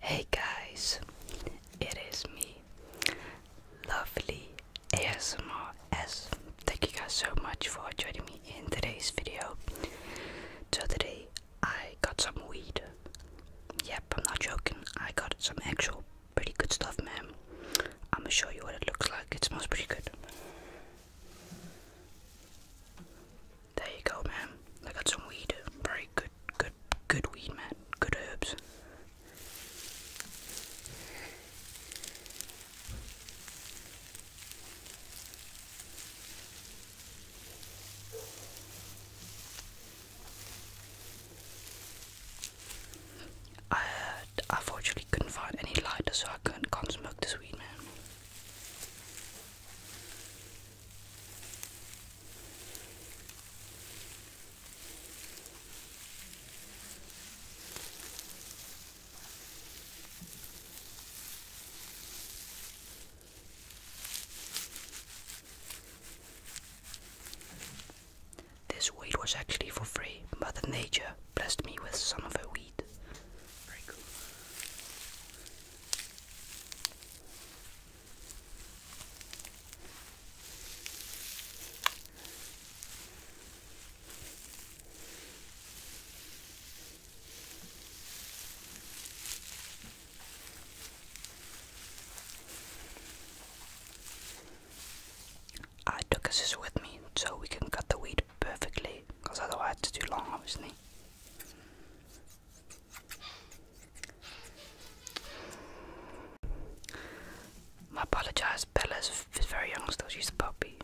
Hey guys, it is me, lovely ASMR Thank you guys so much for joining me in today's video. So today I got some weed. Yep, I'm not joking. I got some actual pretty good stuff, man. I'm gonna show you what it looks like. It smells pretty good. There you go, man. I got some weed. Very good, good, good weed, man. Good herbs. I unfortunately couldn't find any lighter, so I could not smoke this weed, man. This weed was actually for free. Mother Nature blessed me with some of her weed it. Very cool. Ah, I took a scissor with me so we can cut the weed perfectly because I otherwise it's too long obviously I apologize, Bella's very young still, she's a puppy.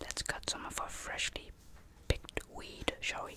Let's cut some of our freshly picked weed, shall we?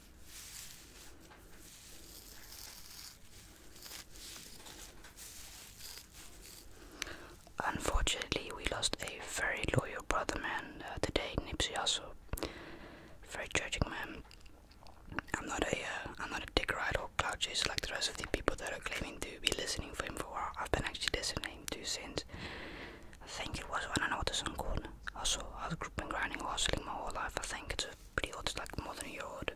Unfortunately, we lost a very loyal brother man uh, today, Nipsey Hussle. Very tragic man. I'm not a, am uh, not a dick ride or cloud chaser like the rest of the people that are claiming to be listening for him for a while. I've been actually listening to since I think it was, I don't know what this Also, I've been grinding or hustling my whole life. I think it's pretty old, like more than a year old.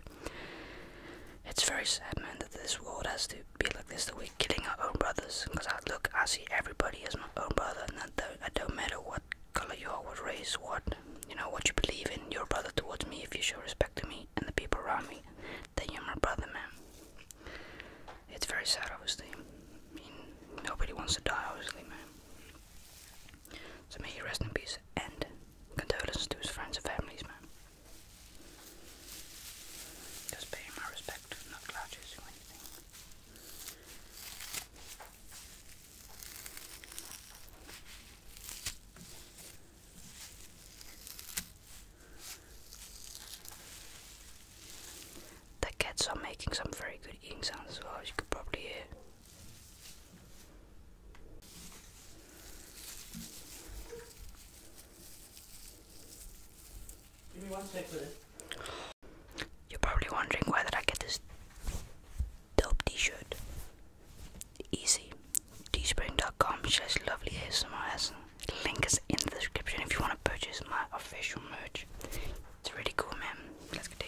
It's very sad, man, that this world has to be like this, that we're killing our own brothers. Because I look, I see everybody as my own brother, and that don't, matter what color you are, what race, what, you know, what you believe in. You're a brother towards me if you show respect to me and the people around me. Then you're my brother, man. It's very sad, obviously. I mean, nobody wants to die, obviously, man. So may he rest in peace and condolences to his friends and families, man. Just pay my respect, not grouches or anything. The cats are making some very good eating sounds as well, as you could probably hear. Give me one sec You're probably wondering why did I get this dope t-shirt? Easy. Teespring.com slash lovely ASMRS. Link is in the description if you want to purchase my official merch. It's really cool, man. Let's continue.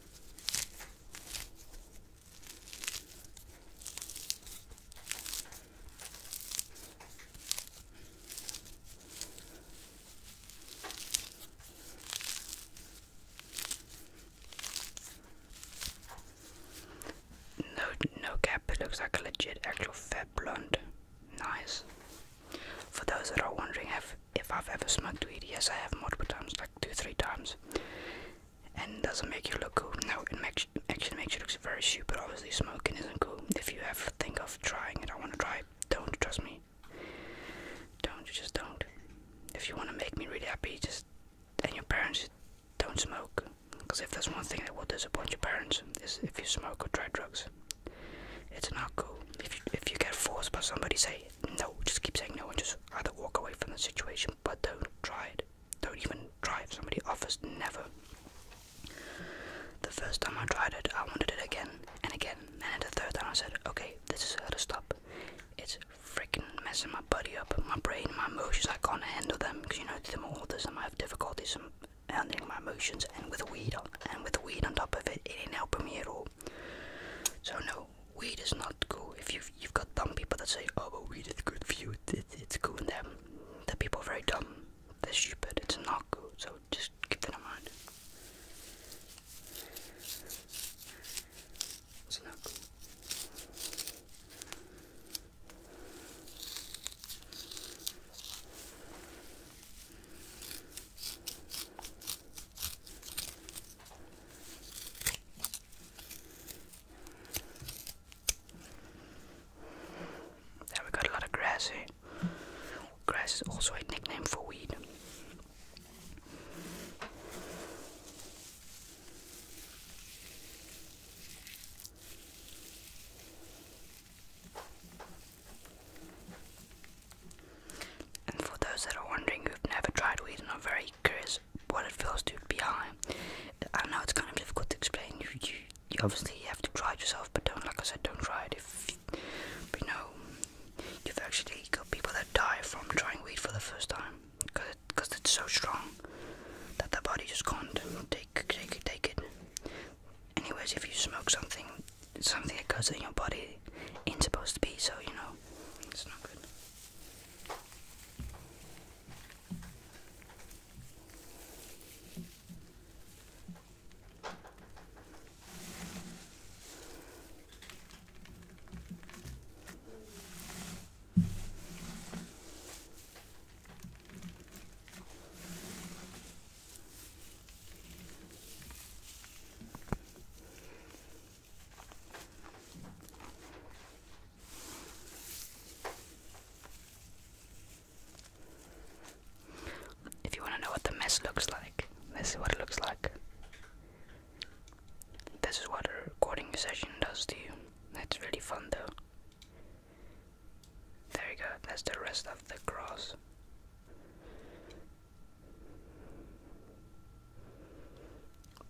No, no cap. It looks like a legit, actual fat blonde. Nice. For those that are wondering, if if I've ever smoked weed. Yes, I have multiple times, like two, three times. And it doesn't make you look cool. No, it actually makes you look very stupid. Obviously, smoking isn't cool. If you ever think of trying it, I want to try. Don't trust me. Don't just don't. If you want to make me really happy, just and your parents don't smoke. Because if there's one thing that will disappoint your parents is if you smoke or try drugs. It's not cool. If if you get forced by somebody, say no, just keep saying no and just either walk away from the situation, but don't try it. Don't even try if somebody offers, never. The first time I tried it, I wanted it again and again, and then the third time I said, okay, this is how to stop. It's freaking messing my body up, my brain, my emotions, I can't handle them, because you know, the more autism, I have difficulties handling my emotions, and with weed and with weed on top of it, it ain't helping me at all. So no, weed is not good. If you've you've got dumb people that say, "Oh, but weed is good for you," it, it's good in them. The people are very dumb. They're stupid. It's not good. So just keep that in mind. It's not there we got a lot of grass here. Eh? Grass is also a nickname for weed. And for those that are wondering who've never tried weed and are very curious what it feels to be high, I don't know it's kind of difficult to explain. You, obviously have to try it yourself, but don't, like I said, don't try it if you, you know you've actually got people that die from trying weed for the first time because it, it's so strong that the body just can't take, take, take it. Anyways, if you smoke something something that goes in your body isn't supposed to be, so you know, it's not good. If you want to know what the mess looks like, this is what it looks like. This is what a recording session does to you. It's really fun though. There you go, that's the rest of the cross.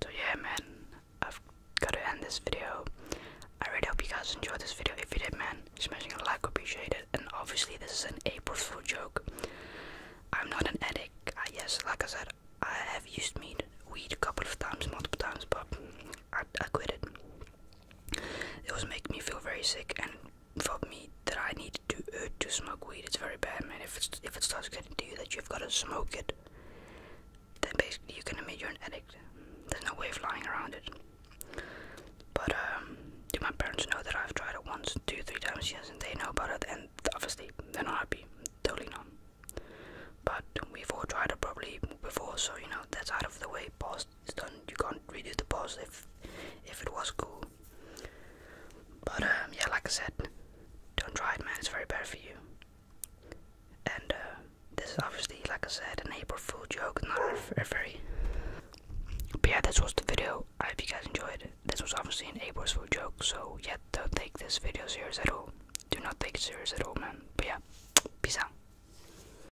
So yeah man, I've got to end this video. I really hope you guys enjoyed this video. If you did man, smashing a like would be appreciated. And obviously this is an April Fool joke. I'm not an addict. I, ah, yes, like I said, I have used meat, weed a couple of times, multiple times, but I, I quit it. It was making me feel very sick and for me that I need to uh, to smoke weed. It's very bad, man. If it's, if it starts getting to you that you've got to smoke it, then basically you can admit you're an addict. There's no way of lying around it. But um, do my parents know that I've tried it once, two, three times? Yes, and they know about it. And obviously, they're not happy. Totally not. But we've all tried it probably before, so you know that's out of the way, past it's done. You can't redo the boss. if if it was cool. But um, yeah, like I said, don't try it, man. It's very bad for you. And uh, this is obviously, like I said, a neighbor food joke, not very. But yeah, this was the video. I hope you guys enjoyed it. This was obviously an April food joke, so yeah, don't take this video serious at all. Do not take it serious at all, man. But yeah, peace out.